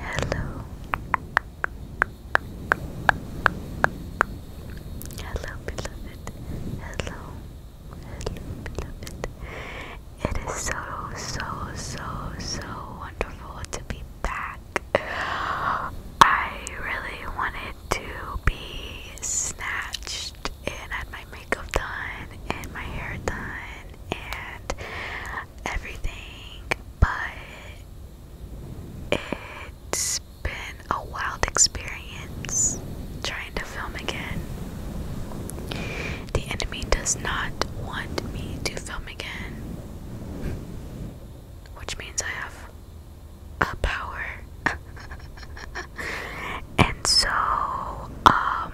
Hello. Hello, beloved. Hello. Hello, beloved. It is so, so, so, so wonderful to be back. I really wanted to be snatched and had my makeup done and my hair done and everything, but it's been a wild experience trying to film again. The enemy does not want me to film again, which means I have a power. and so, um,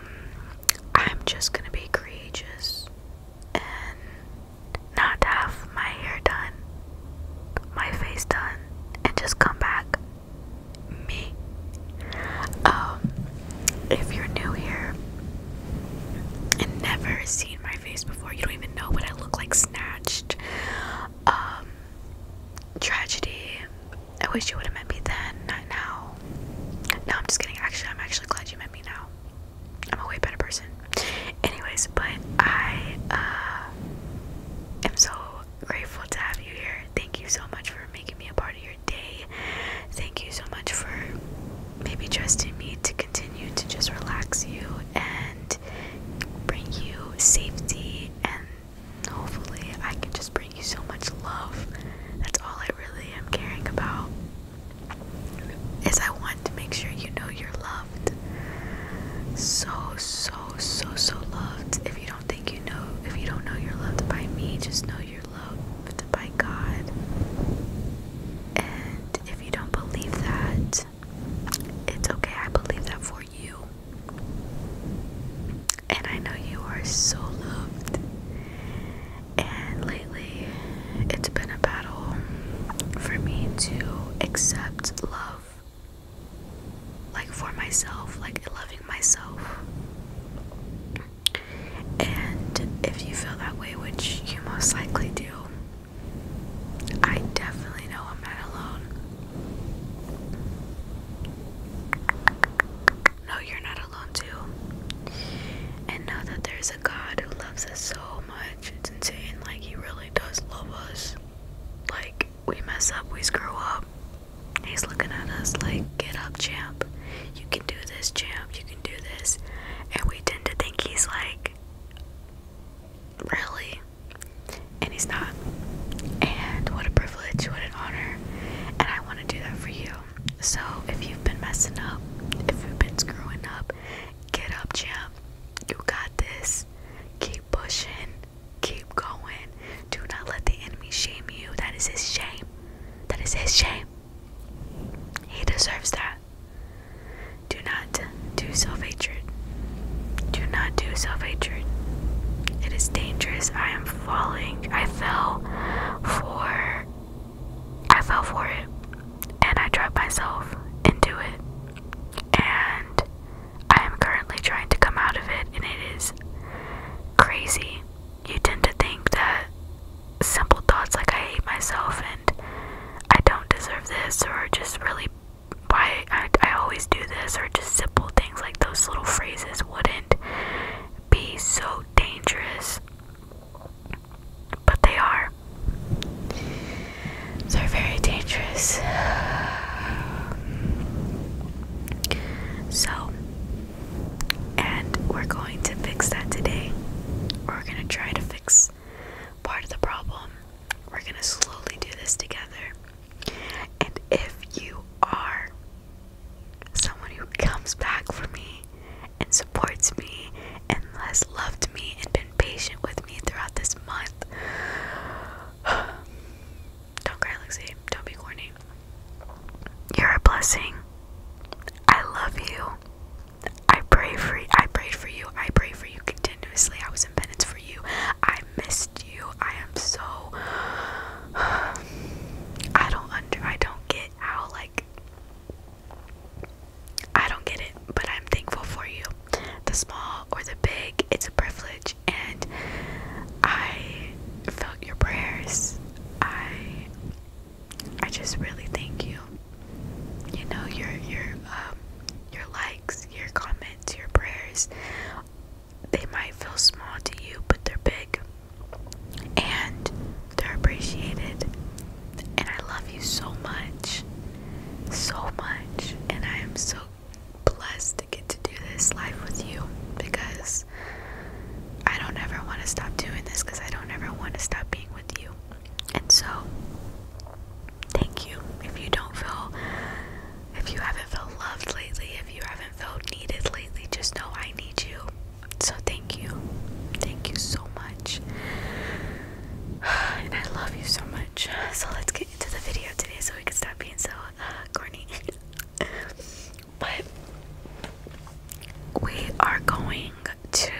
I'm just gonna be courageous and not have my hair done, my face done, and just come back. Me. Um, if you're new here and never seen my face before, you don't even know what I look like snatched. Um, tragedy. I wish you would have met me then, not now. No, I'm just kidding. Actually, I'm actually glad you met me now. I'm a way better person. Anyways, but I uh, am so grateful to have you here. Thank you so much for making me a part of your day. Thank you so much for maybe trusting me to continue to just relax you and bring you safety and hopefully I can just bring you so much love. That's all I really am caring about is I want to make sure you know you're loved. So, so, so, so loved. If you don't think you know, if you don't know you're loved by me, just know you're loved by God. And if you don't believe that, it's okay. I believe that for you. And I know you are so loved. And lately, it's been a battle for me to accept love, like for myself, like loving myself. And if you feel that way, which you most likely do, I definitely know I'm not alone. No, you're not alone too. And know that there's a God who loves us so much it's insane. Like, he really does love us. Like, we mess up, we screw up. He's looking at us like, get up, champ. You can do this, champ. You can do this. And we tend to think he's like, really? And he's not. And what a privilege, what an honor. And I want to do that for you. So if you've been messing up, if you've been screwing up, get up, champ. You got this. Keep pushing. Keep going. Do not let the enemy shame you. That is his shame. That is his shame. He deserves that. Do not do self hatred. Do not do self hatred. It is dangerous. I am falling. I fell for I fell for it and I trapped myself into it. And I am currently trying to come out of it, and it is crazy. You tend to think that simple thoughts like I hate myself and I don't deserve this, or just really why I, I always do this, or just simple things like those little phrases wouldn't be so dangerous but they are. They're very dangerous. So, and we're going to fix that today. We're going to try to fix part of the problem. We're going to slowly do this together. And if you are someone who comes back for me and supports me and has loved me and been patient with me throughout this month. Don't cry, Lexi. Don't be corny. You're a blessing. I love you. I pray for I prayed for you. I pray for you continuously. I was in penance for you. I missed you. I am so I don't under I don't get how like I don't get it, but I'm thankful for you. The small or the big, it's a privilege, and I felt your prayers. I I just really thank you. You know your your um, your likes, your comments, your prayers. They might feel small to you, but they're big, and they're appreciated. And I love you so much. So much. And I am so blessed to get to do this life with you because I don't ever want to stop doing this because I don't ever want to stop being with you. And so, thank you. If you don't feel, if you haven't felt loved lately, if you haven't felt needed lately, just know I need you. So, thank you. Thank you so much. and I love you so much. So let's get into the video today so we can stop being so uh, corny. but we are going to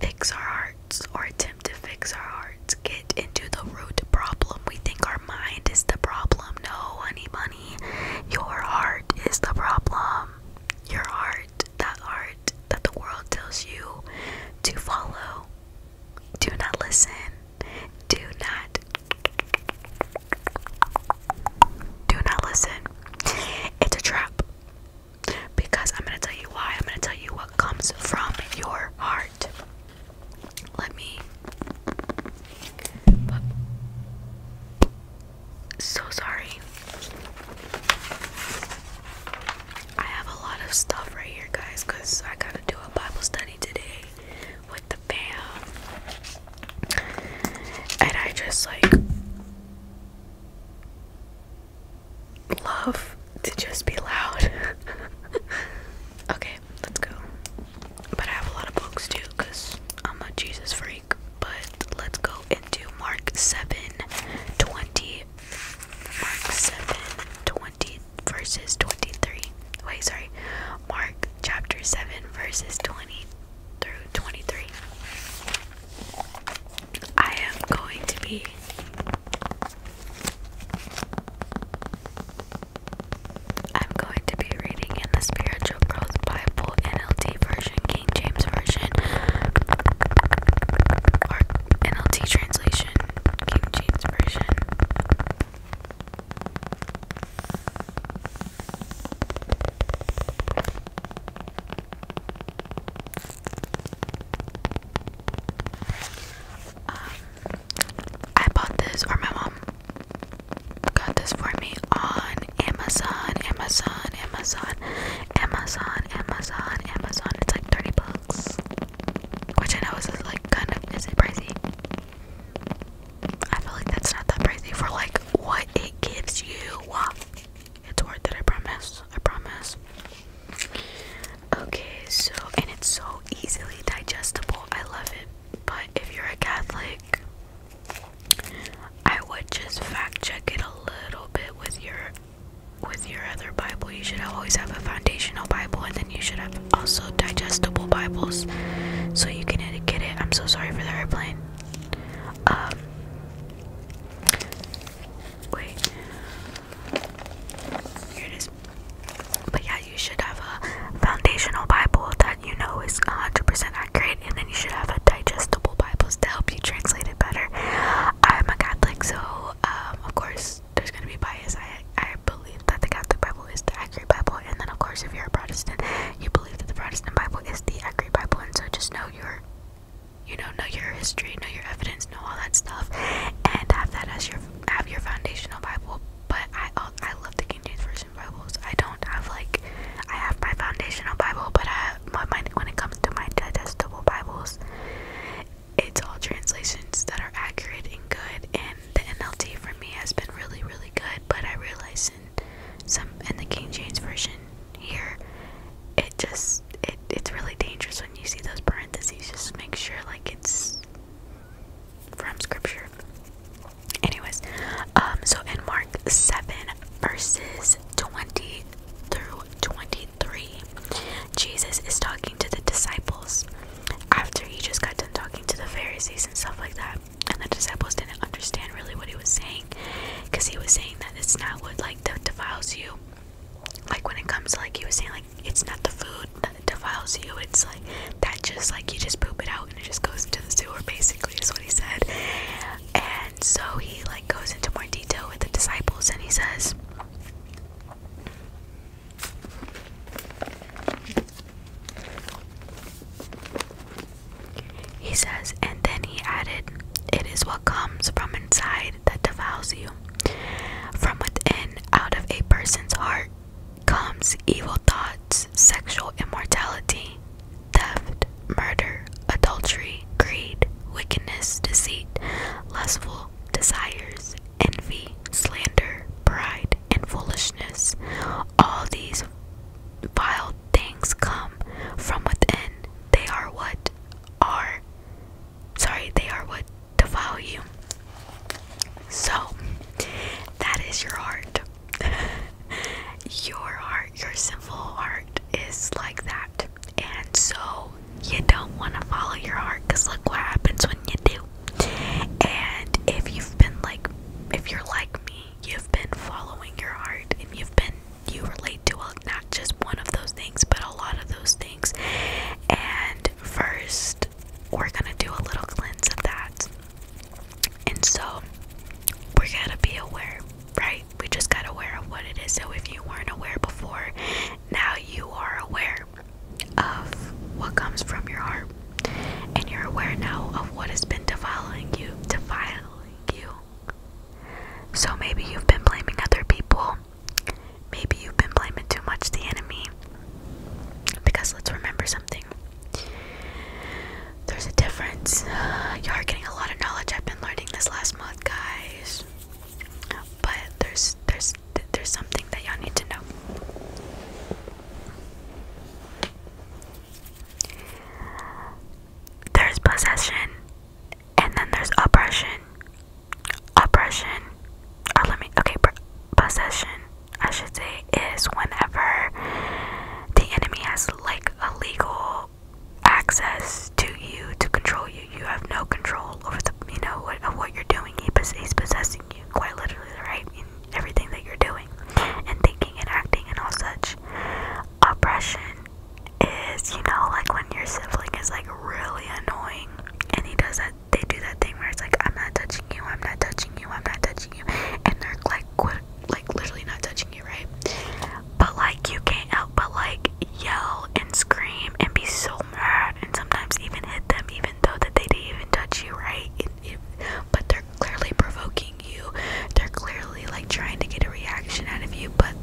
fix our hearts or attempt to fix our hearts. Get into the root problem. We think our mind is the problem. No, honey money. Your heart is the problem. Your heart that art that the world tells you to follow. Do not listen. Do not do not listen. It's a trap. Because I'm gonna tell you why. I'm gonna tell you what comes from your heart. Let me so sorry. I have a lot of stuff right here, guys, because I gotta do a Bible study today with the fam. And I just like love to just be loud. okay, let's go. But I have a lot of books too, because I'm a Jesus freak. But let's go into Mark 7 20 Mark 7 verses 23. Wait, sorry. Mark chapter 7 verses 20 through 23. I am going to be I'm going to be reading in the Spiritual Growth Bible NLT version King James Version NLT translation, King James Version. Um, I bought this, or my mom got this for me on Amazon, Amazon, Amazon, Amazon, Amazon. Amazon, it's like 30 bucks. Which I know is like kind of, is it pricey? I feel like that's not that pricey for like what it gives you. It's worth it, I promise. I promise. Okay, so, and it's so easily digestible. I love it. But if you're a Catholic, I would just fact check it a little bit with your with your other Bible, you should always have a foundational Bible, and then you should have also digestible Bibles, so you can get it. I'm so sorry for the airplane. Um, wait, But yeah, you should have a foundational Bible that you know is 100 accurate, and then you should have a digestible Bibles to help you translate better. I'm a Catholic, so um, of course there's gonna be bias. I I believe that the Catholic Bible is the accurate Bible, and then of course if you're a Protestant, you believe that the Protestant Bible is the accurate Bible, and so just know your, you know, know your history, know your evidence, know all that stuff, and have that as your have your foundational Bible. But I I love the King James Version Bibles. I don't have like I have my foundational Bible, but I when it comes to my digestible Bibles, it's all translations that are accurate and good. And the NLT for me has been really, really good. But I realize in some in the King James version here, it just it it's really dangerous when you see those parentheses. Just make sure like it's from Scripture. Anyways, um, so in Mark seven verses twenty through twenty 3, Jesus is talking to the disciples after he just got done talking to the Pharisees and stuff like that. And the disciples didn't understand really what he was saying because he was saying that it's not what like the defiles you. Like when it comes like he was saying like it's not the food that defiles you, it's like that just like you just poop it out and it just goes into the sewer basically is what he said. And so he like goes into more detail with the disciples and he says He says, and then he added, It is what comes from inside that defiles you. From within, out of a person's heart, comes evil thoughts, sexual immortality, theft, murder, adultery, greed, wickedness, deceit, lustful desires, envy, slander, pride, and foolishness. All these vile things come from within. They are what are sorry, they are what defile you. So that is your heart. your heart, your sinful heart is like that. And so you don't want to follow your heart because look what happens when you do. And if you've been like, if you're like me, you've been following your heart and you've been, you relate to a, not just one of those things, but a lot of those things. And first, we're going to do a little cleanse of that. And so, we're going to be aware, right? we just got aware of what it is. So if you weren't aware before, now you are aware of what comes from your heart, and you're aware now of what has been defiling you, defiling you. So maybe you've been blaming other people. Maybe you've been blaming too much the enemy. Because let's remember something. There's a difference. you are getting a lot of knowledge. I've been learning this last month, guys. But there's there's there's something that y'all need to know. There's possession, and then there's oppression. Oppression, or uh, let me okay, possession. I should say is whenever the enemy has like a legal access to you to control you. You have no control over the you know what of what you're doing. He he's possessing you quite literally, right? In everything that you're doing and thinking and acting and all such. Oppression is, you know, like when your sibling is like really annoying and he does that they do that thing where it's like I'm not touching you, I'm not touching you, I'm not touching you and they're like quit like literally not touching you, right? but like you can't help but like yell and scream and be so mad and sometimes even hit them even though that they didn't even touch you right but they're clearly provoking you they're clearly like trying to get a reaction out of you but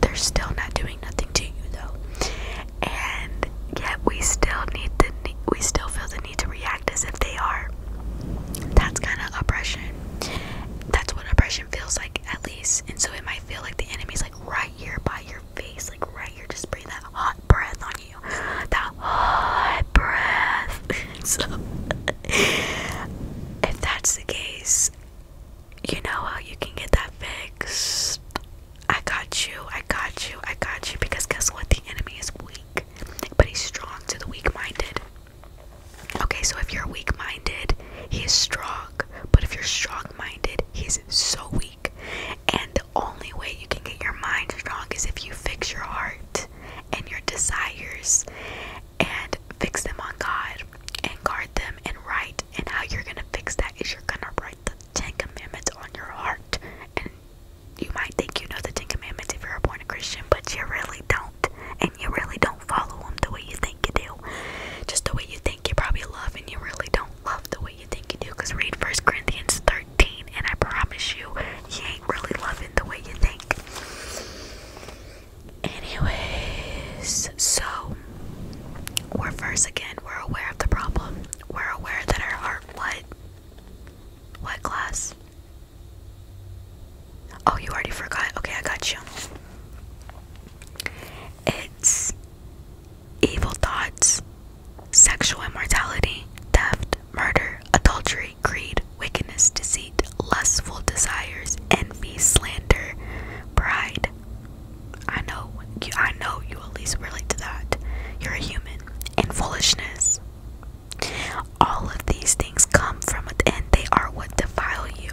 they're still not doing nothing to you though and yet we still need to we still feel the need to react as if they are that's kind of oppression that's what oppression feels like at least and so it might feel like the enemy's like right here by your face, like right here. Just breathe that hot breath on you. That hot breath. so, if that's the case, you know how you can get that fixed. I got you, I got you, I got you. Because guess what? The enemy is weak, but he's strong to the weak minded. Okay, so if you're weak minded, he's strong. But if you're strong minded, he's so weak. And the only way you can get your mind strong is if you fix your heart and your desires and fix them on God and guard them and write. And how you're gonna fix that is you're gonna write the Ten Commandments on your heart. And you might think you know the Ten Commandments if you're a born Christian, but you really don't. And you really don't follow them the way you think you do. Just the way you think you probably love, and you really don't love the way you think you do. Because read 1 Corinthians 13, and I promise you, you ain't really loving the way you think. Anyways, so we're first again, we're aware of the problem. We're aware that our heart, what? What class? Oh, you already forgot. Okay, I got you. It's evil thoughts, sexual immortality, theft, murder, adultery, greed, wickedness, deceit, lustful desires, envy, slander, pride. I know you I know you at least relate to that. You're a human. And foolishness. All of these things come from within. They are what defile you.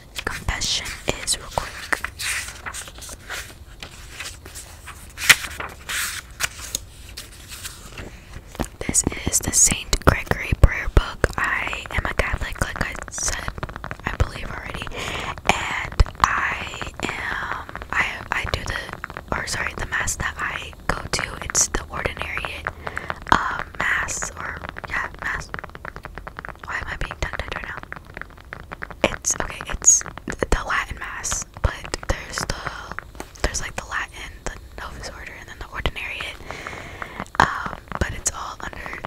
confession is real quick. This is the Saint Gregory prayer book. I am a Catholic, like I said, I believe already, and I am. I I do the or sorry, the mass that I go to. It's the ordinary um, mass or yeah, mass why am I being tongue tied right now? It's okay, it's the Latin mass, but there's the there's like the Latin, the Novus Order, and then the Ordinariate. Um, but it's all under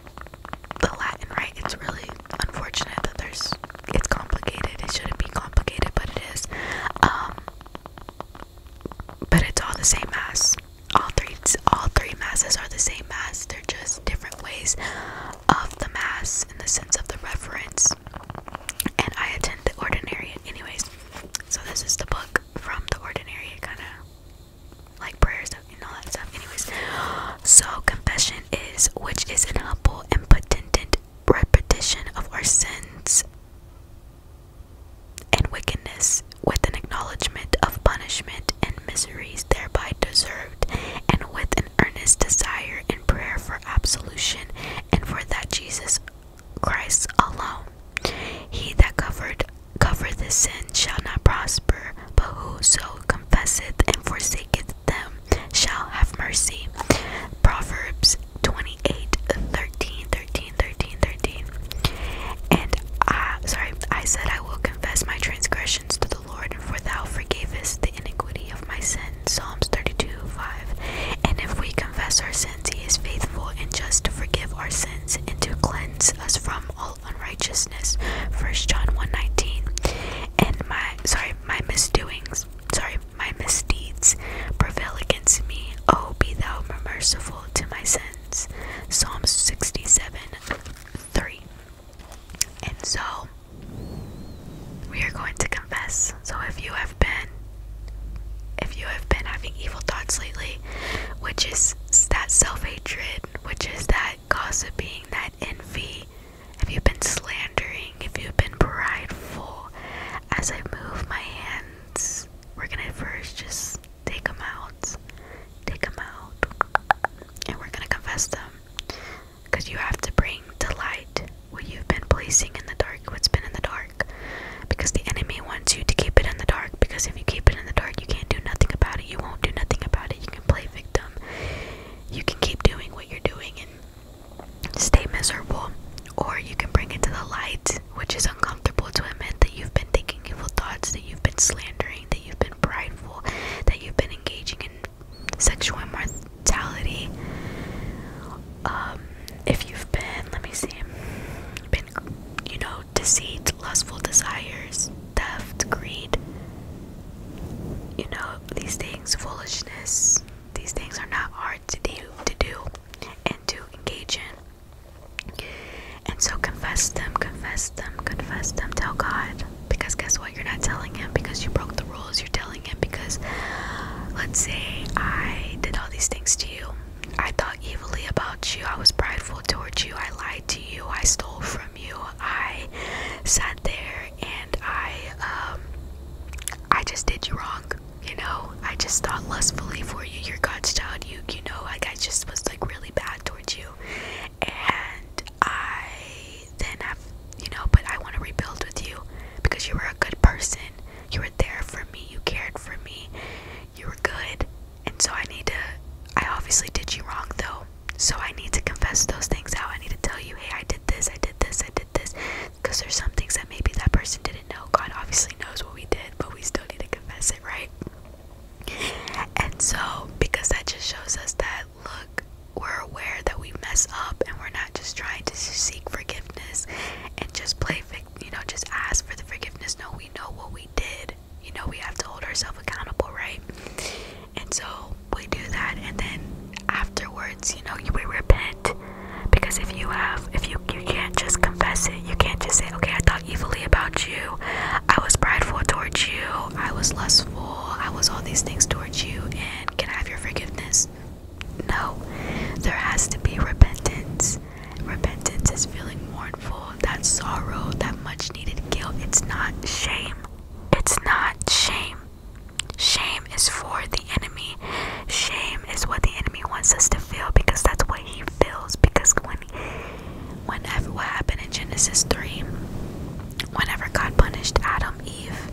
the Latin, right? It's really unfortunate that there's it's complicated. It shouldn't be complicated, but it is. Um, but it's all the same mass all three all three masses are the same mass they're just different ways of the mass in the sense of the reference and i attend the ordinary anyways so this is the book from the ordinary kind of like prayers and all that stuff anyways so confession is which is an humble and potent repetition of our sins and wickedness with an acknowledgement of punishment and misery thereby deserved, and with an earnest desire and prayer for absolution and for that Jesus Christ alone. He that covered covereth his sin shall not prosper, but whoso confesseth and forsaketh them shall have mercy. Proverbs 28 And I sorry, I said I will confess my transgression to the Lord, for thou forgavest the iniquity of my sin. Psalms 32 5. And if we confess our sins, he is faithful and just to forgive our sins and to cleanse us from all unrighteousness. 1 John 1 19. And my, sorry, my misdoings, sorry, my misdeeds prevail against me. Oh, be thou merciful to my sins. Psalms 67 3. And so we are going to confess. So if you have been if you have been having evil thoughts lately, which is that self-hatred, which is that gossiping, that envy, have you been slandering, if you've been prideful, as I move my hands, we're going to first just Take them out. Take them out. And we're going to confess them. Because you have to bring to light what you've been placing in the dark, what's been in the dark. Because the enemy wants you to keep it in the dark. Because if you keep it in the dark, you can't do nothing about it. You won't do nothing about it. You can play victim. You can keep doing what you're doing and stay miserable. Or you can bring it to the light, which is uncomfortable to admit that you've been thinking evil thoughts, that you've been slandering, that you've been and that you've been engaging in sexual immortality. Um, if you've been, let me see, been, you know, deceit, lustful desires, theft, greed, you know, these things, foolishness, these things are not hard to do, to do, and to engage in. And so confess them, confess them, confess them. Tell God. Because guess what? You're not telling Him because you broke the rules. You're telling Him because, let's say, I did all these things to you. I thought evilly about you. I was prideful towards you. I lied to you. I stole from you. I sat there and I, um, I just did you wrong. You know, I just thought lustfully for you. Your God's child. You, you know, I just was like really bad towards you, and I then have, you know, but I want to rebuild with you because you were a good person. You were there for me. You cared for me. You were good. And so I need to, I obviously did you wrong though. So I need to confess those things out. I need to tell you, hey, I did this, I did this, I did this. Because there's some things that maybe that person didn't know. God obviously knows what we did, but we still need to confess it, right? And so, because that just shows us that look, we're aware that we mess up and we're not just trying to seek forgiveness and just play, you know, just ask for the forgiveness. No, we know what we did. You know, we have to hold ourselves accountable, right? And so we do that, and then afterwards, you know, we repent because if you have, if you you can't just confess it, you can't just say, okay, I thought thought about you. I was prideful towards you. I was lustful. I was all these things towards you. And can I have your forgiveness? No. There has to be repentance. Repentance is feeling mournful, that sorrow, that much needed guilt. It's not shame. It's not shame. Shame is for the enemy. Shame is what the enemy wants us to feel because that's what he feels. Because when Whenever what happened in Genesis 3, whenever God punished Adam, Eve,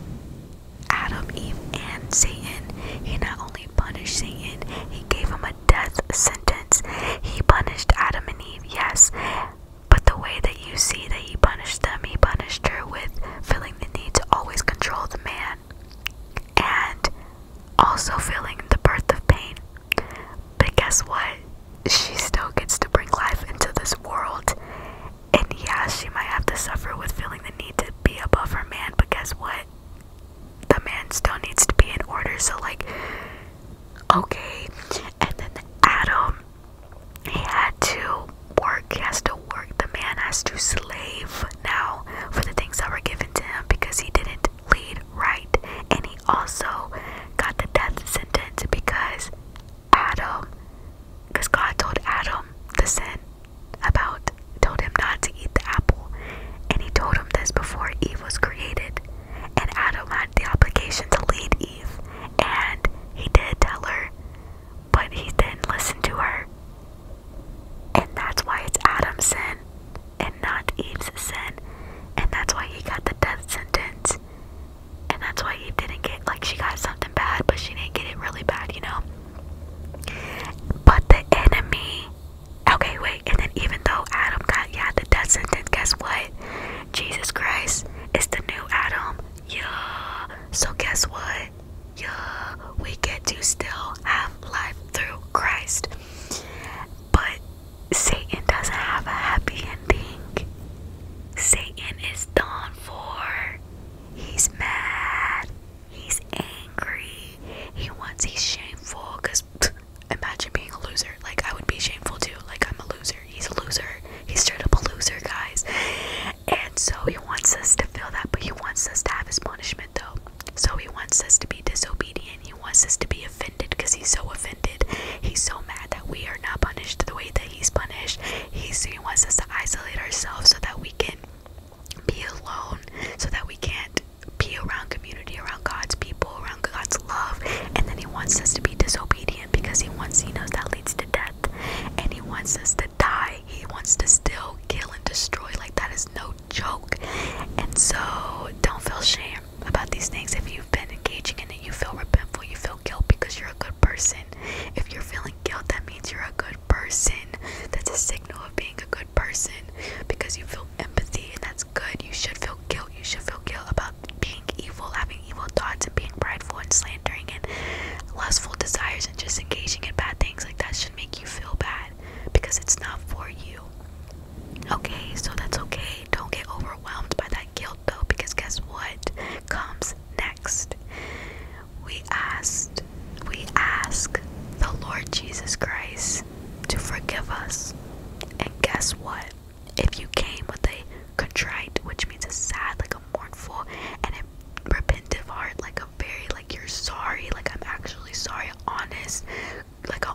Adam, Eve, and Satan, he not only punished Satan, he gave him a death sentence. He punished Adam and Eve, yes, but the way that you see that he punished them, he punished her with feeling the need to always control the man and also feeling the birth of pain. But guess what? she still gets to bring life into this world. And yeah, she might have to suffer with feeling the need to be above her man, but guess what? The man still needs to be in order, so, like, okay. And then Adam, he had to work, has to work. The man has to slave now for the things that were given to him because he didn't lead right. And he also got the death sentence because Adam, because God told Adam the sin about, told him not to eat the apple. And he told him this before Eve was created. And Adam had the obligation to lead Eve. And he did tell her, but he didn't listen to her. And that's why it's Adam's sin and not Eve's sin. And that's why he got the death sentence and that's why he didn't get like she got something bad but she didn't get it really bad you know but the enemy okay wait and then even though adam got yeah the death sentence guess what jesus christ is the new adam yeah so guess what yeah we get to still have life through christ but Satan doesn't have a happy ending. Satan is done for. He's mad. He's angry. He wants, he's shameful. Because imagine being a loser. Like, I would be shameful too. Like, I'm a loser. He's a loser. He's straight up a loser, guys. And so he wants us to feel that, but he wants us to have his punishment though. So he wants us to be disobedient. He wants us to be offended because he's so offended. He's so mad that we are not punished the way that he's punished. He's, doing wants us to isolate ourselves so that we can be alone, so that we can't be around community, around God's people, around God's love. And then he wants us to be disobedient because he wants, he knows that leads to death. And he wants us to die. He wants to still kill and destroy. Like that is no joke. And so don't feel shame about these things. If you've been engaging in it, you feel repentful, you feel guilt because you're a good person. If you're feeling guilt, that means you're a good person. That's a signal of being a good person because you feel empathy, and that's good. You should feel guilt. You should feel guilt about being evil, having evil thoughts, and being prideful and slandering and lustful desires and just engaging in bad things. Like that should make you feel bad because it's not for you. Okay, so that's okay don't get overwhelmed by that guilt though, because guess what comes next? We asked, we ask the Lord Jesus Christ to forgive us. And guess what? If you came with a contrite, which means a sad, like a mournful, and a repentive heart, like a very, like you're sorry, like I'm actually sorry, honest, like a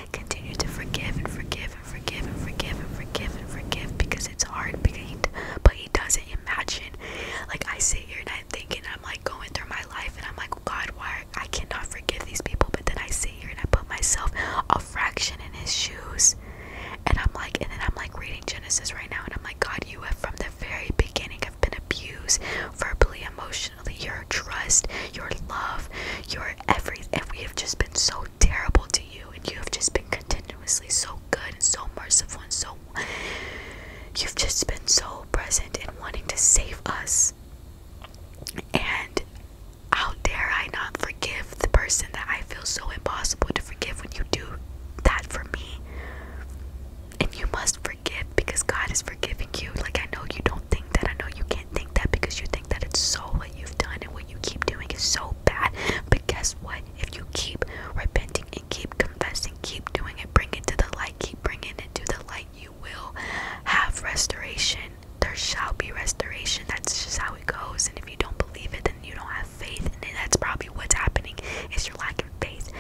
Continue to forgive and forgive and forgive and forgive and forgive and forgive because it's hard. Because but he doesn't imagine. Like I sit here and I'm thinking, I'm like going through my life, and I'm like, God, why I cannot forgive these people. But then I sit here and I put myself a fraction in his shoes, and I'm like, and then I'm like reading Genesis right now, and I'm like, God, you have from the very beginning have been abused verbally, emotionally unfortunately, your trust, your love, your everything. And we have just been so terrible to you, and you have just been continuously so good and so merciful and so. You've just been so present and wanting to save us. And how dare I not forgive the person that I feel so impossible to forgive when you do that for me? And you must forgive because God is forgiving you. Like, I know you don't think that. I know you can't think that because you think that it's so what you've done and what you keep doing is so bad. But guess what? If you keep repenting and keep confessing, keep doing it, bring it to the light, keep bringing it to the light, you will have restoration. There shall be restoration. That's just how it goes. And if you don't believe it, then you don't have faith. And that's probably what's happening It's your lack of faith.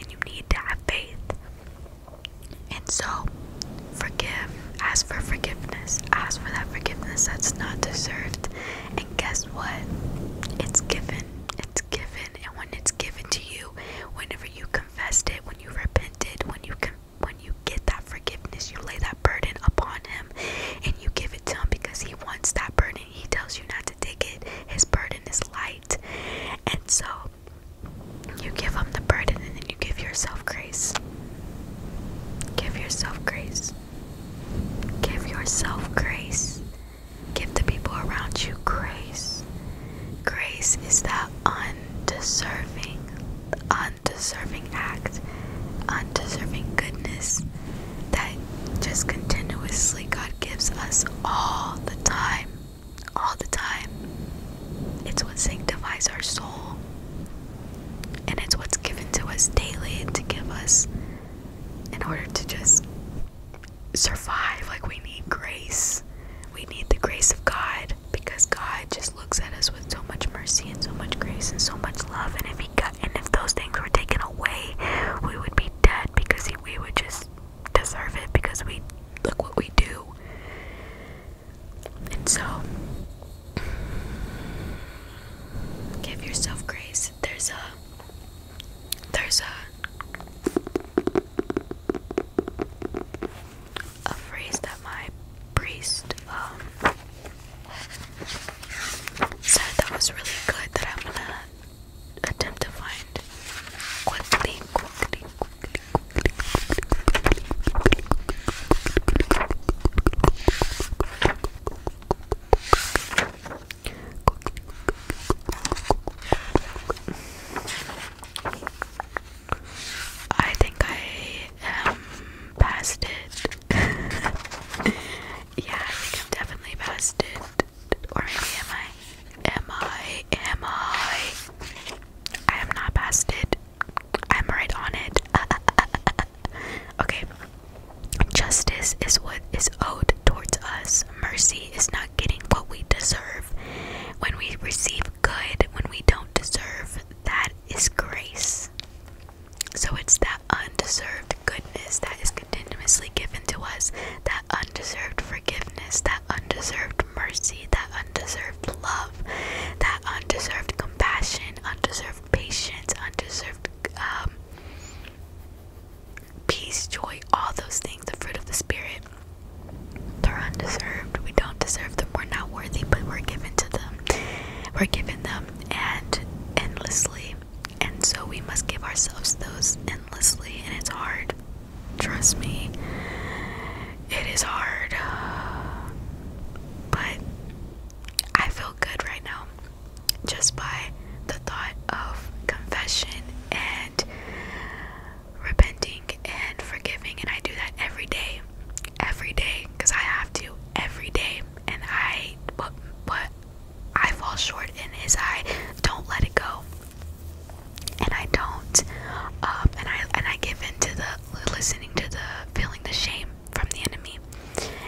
And you need to have faith. And so, forgive. Ask for forgiveness. Ask for that forgiveness that's not deserved. And guess what? It's given. It's given. And when it's given to you, whenever you confessed it, when you repented, when you when you get that forgiveness, you lay that burden upon him, and you give it to him because he wants that burden. He tells you not to take it. His burden is light. And so you give them the burden and then you give yourself grace. Give yourself grace. Give yourself grace. Give the people around you grace. Grace is that undeserving, undeserving act, undeserving goodness that just continuously God gives us all the time. All the time. It's what sanctifies our soul. And it's what's given to us daily to give us in order to just survive. Like, we need grace. We need the grace of God because God just looks at us with so much mercy and so much grace and so much love. And if He got, and if those things were taken away, we would be dead because he, we would just deserve it because we look what we do. And so, give yourself grace. There's a, there's a, a phrase that my priest um, said that was really good that I'm gonna attempt to find quickly, quickly, I think I am past it. yeah, I think I'm definitely past Or am I? Am I? Am I? I am not past I'm right on it. okay. Justice is what is owed towards us. Mercy is not getting what we deserve. When we receive good when we don't deserve, that is grace. So it's that undeserved goodness that is continuously given to us, that undeserved forgiveness, that undeserved mercy, that undeserved love that undeserved compassion, undeserved patience, undeserved um, peace, joy, all those things, the fruit of the Spirit, they're undeserved. We don't deserve them. We're not worthy, but we're given to them. We're given them and endlessly. And so we must give ourselves those endlessly, and it's hard. Trust me. It is hard, but I feel good right now just by the thought of confession and repenting and forgiving. And I do that every day, every day, because I have to every day. And I, but, but I fall short in is I don't let it go and I don't um, and I and I give in to the listening to the feeling the shame from the enemy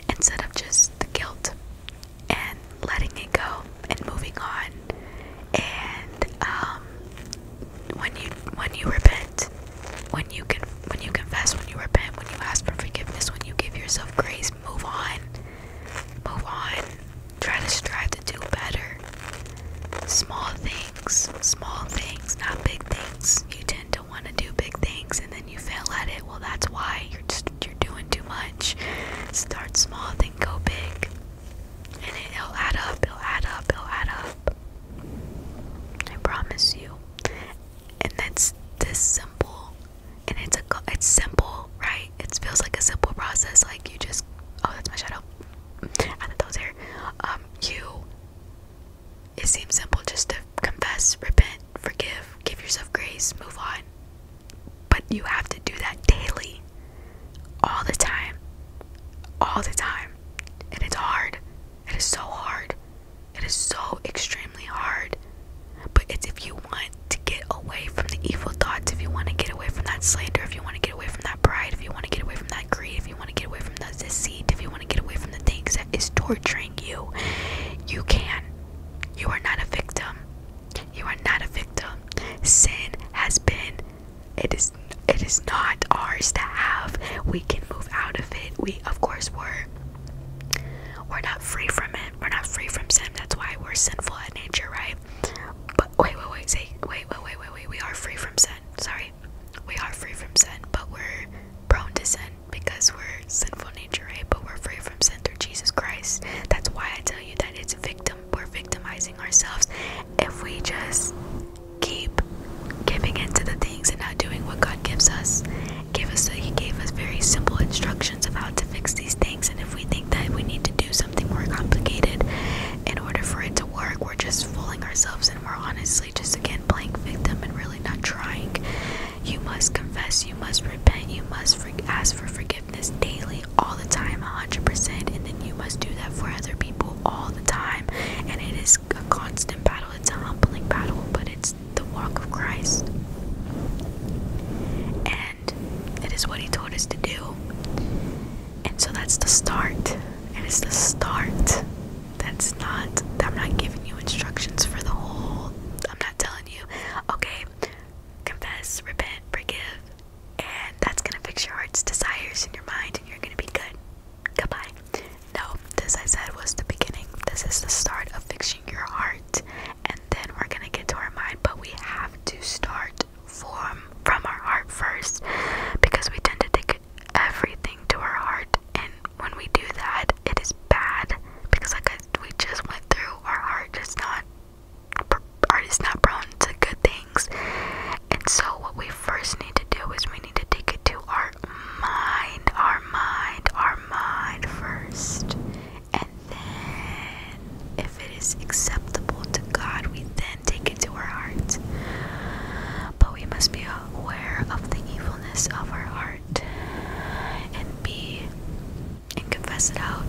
instead of just the guilt and letting it go and moving on and um when you when you repent when you can when you confess when you repent when you ask for forgiveness when you give yourself grace move on move on try to strive to do better small things things, small things, not big things. You tend to want to do big things and then you fail at it. Well, that's why you're just you're doing too much. Start small, then go big. And it'll add up, it'll add up, it'll add up. I promise you. And that's this simple. And it's a it's simple, right? It feels like a simple process. Like you just oh, that's my shadow. I thought that was Um, you it seems simple just to confess, repent, forgive, give yourself grace, move on. But you have to do that daily, all the time, all the time. And it's hard. It is so hard. It is so extremely hard. But it's if you want to get away from the evil thoughts, if you want to get away from that slander, if you want to get away from that pride, if you want to get away from that if you want to get away from the deceit, if you want to get away from the things that is torturing you, you can. You are not a victim. You are not a victim. Sin has been it is it is not ours to have. We can move out of it. We of course were we're not free from it. We're not free from sin. That's why we're sinful at nature, right? But wait, wait, wait, wait, wait, wait, wait. We are free from sin. Sorry, we are free from sin, but we're prone to sin because we're sinful nature, right? But we're free from sin through Jesus Christ. That's why I tell you that it's victim. We're victimizing ourselves if we just keep giving into the things and not doing what God gives us. Give us He gave us very simple instructions of how to fix these things, and if we think that we need to do something more complicated in order for it to work, we're just fooling ourselves and we're honestly just again playing victim and really not trying. You must confess, you must repent, you must ask for forgiveness daily, all the time, 100%, and then you must do that for other people all the time. And it is a constant battle, it's a humbling battle, but it's the walk of Christ. And it is what He told us to do. And so that's the start. It is the start. That's not, I'm not giving you instructions for the whole, I'm not telling you, okay, confess, repent, forgive, and that's gonna fix your heart's desires in your mind and you're gonna be good. Goodbye. No, this I said was the beginning. This is the start of fixing your heart, and then we're gonna get to our mind, but we have to start from from our heart first because we tend to take everything to our heart, and when we do that, it is bad because, like I, we just went through, our heart Just not art is not prone to good things. And so, what we first need to do is we need to take it to our mind, our mind, our mind first. And then, if it is acceptable to God, we then and take it to our heart. But we must be aware of the evilness of our heart and be and confess it out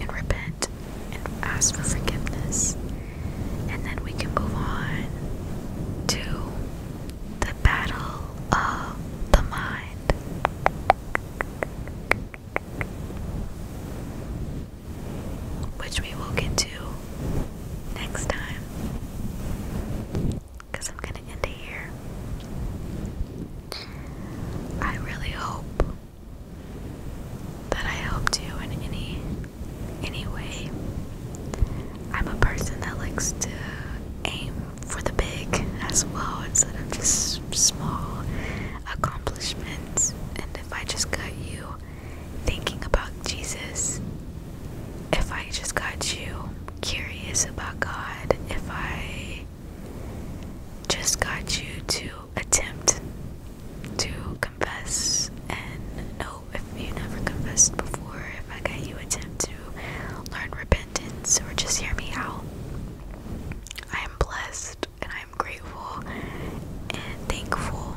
and repent and ask for forgiveness. And then we can move on to the battle of the mind. Which we will get to next time because I'm going to end it here. I really hope that I helped you in any any way. I'm a person that likes to aim for the big as well instead of just small accomplishments. And if I just got you thinking about Jesus, if I just got you curious about God, if I just got you to attempt to confess and know if you never confessed before, if I got you attempt to learn repentance or just hear me out, I am blessed and I am grateful and thankful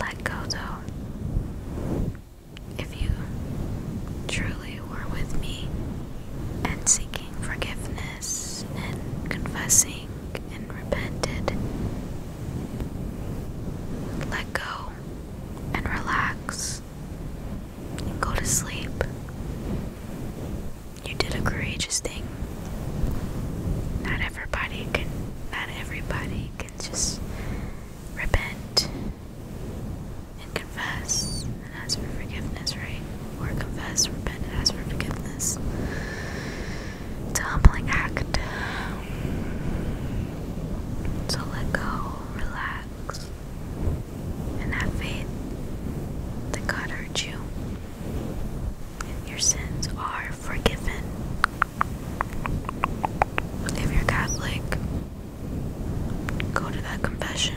Let go though. If you truly were with me and seeking forgiveness and confessing and repented, let go and relax and go to sleep. You did a courageous thing. Not everyone everybody can not everybody can just repent and confess and ask for forgiveness, right? Or confess, repent, and ask for forgiveness. It's a humbling act. to let go, relax, and have faith that God heard you. And Your sins are forgiven. If you're Catholic, go to that confession.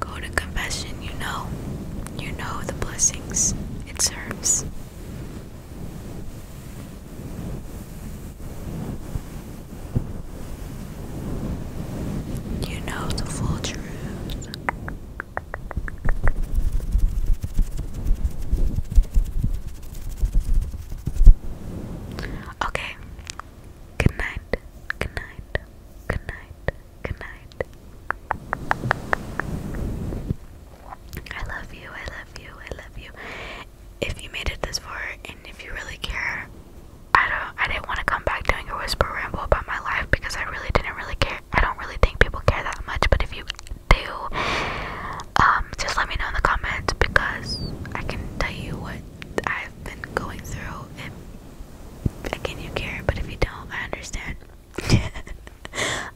Go to confession, you know. You know the blessings it serves. You know the full truth. Okay. Good night. Good night. Good night. Good night. I love you. I love you. I love you. If you made it this far and if you really care, I don't I didn't want to come back doing a whisper ramble about my life because I really didn't really care I don't really think people care that much, but if you do, um, just let me know in the comments because I can tell you what I've been going through. And again you care, but if you don't, I understand.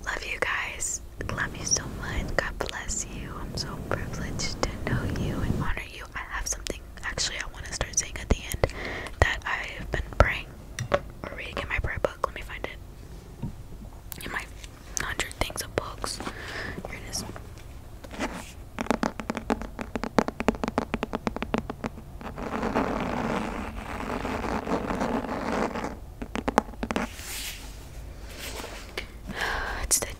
Love you guys. Love you so much. God bless you. I'm so privileged to know you and honor you. I have something actually I want to start saying at the end that I have been praying or reading in my prayer book. Let me find it. In my hundred things of books. It's the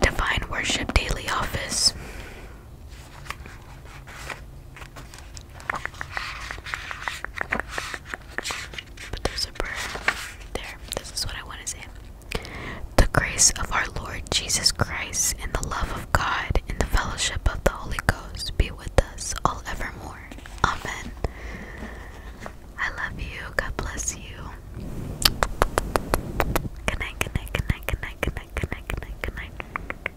Divine Worship Daily Office. But there's a bird there. This is what I want to say. The grace of our Lord Jesus Christ and the love of God and the fellowship of the Holy Ghost be with us all evermore. Amen. I love you. God bless you. Good night, good night, good night, good night,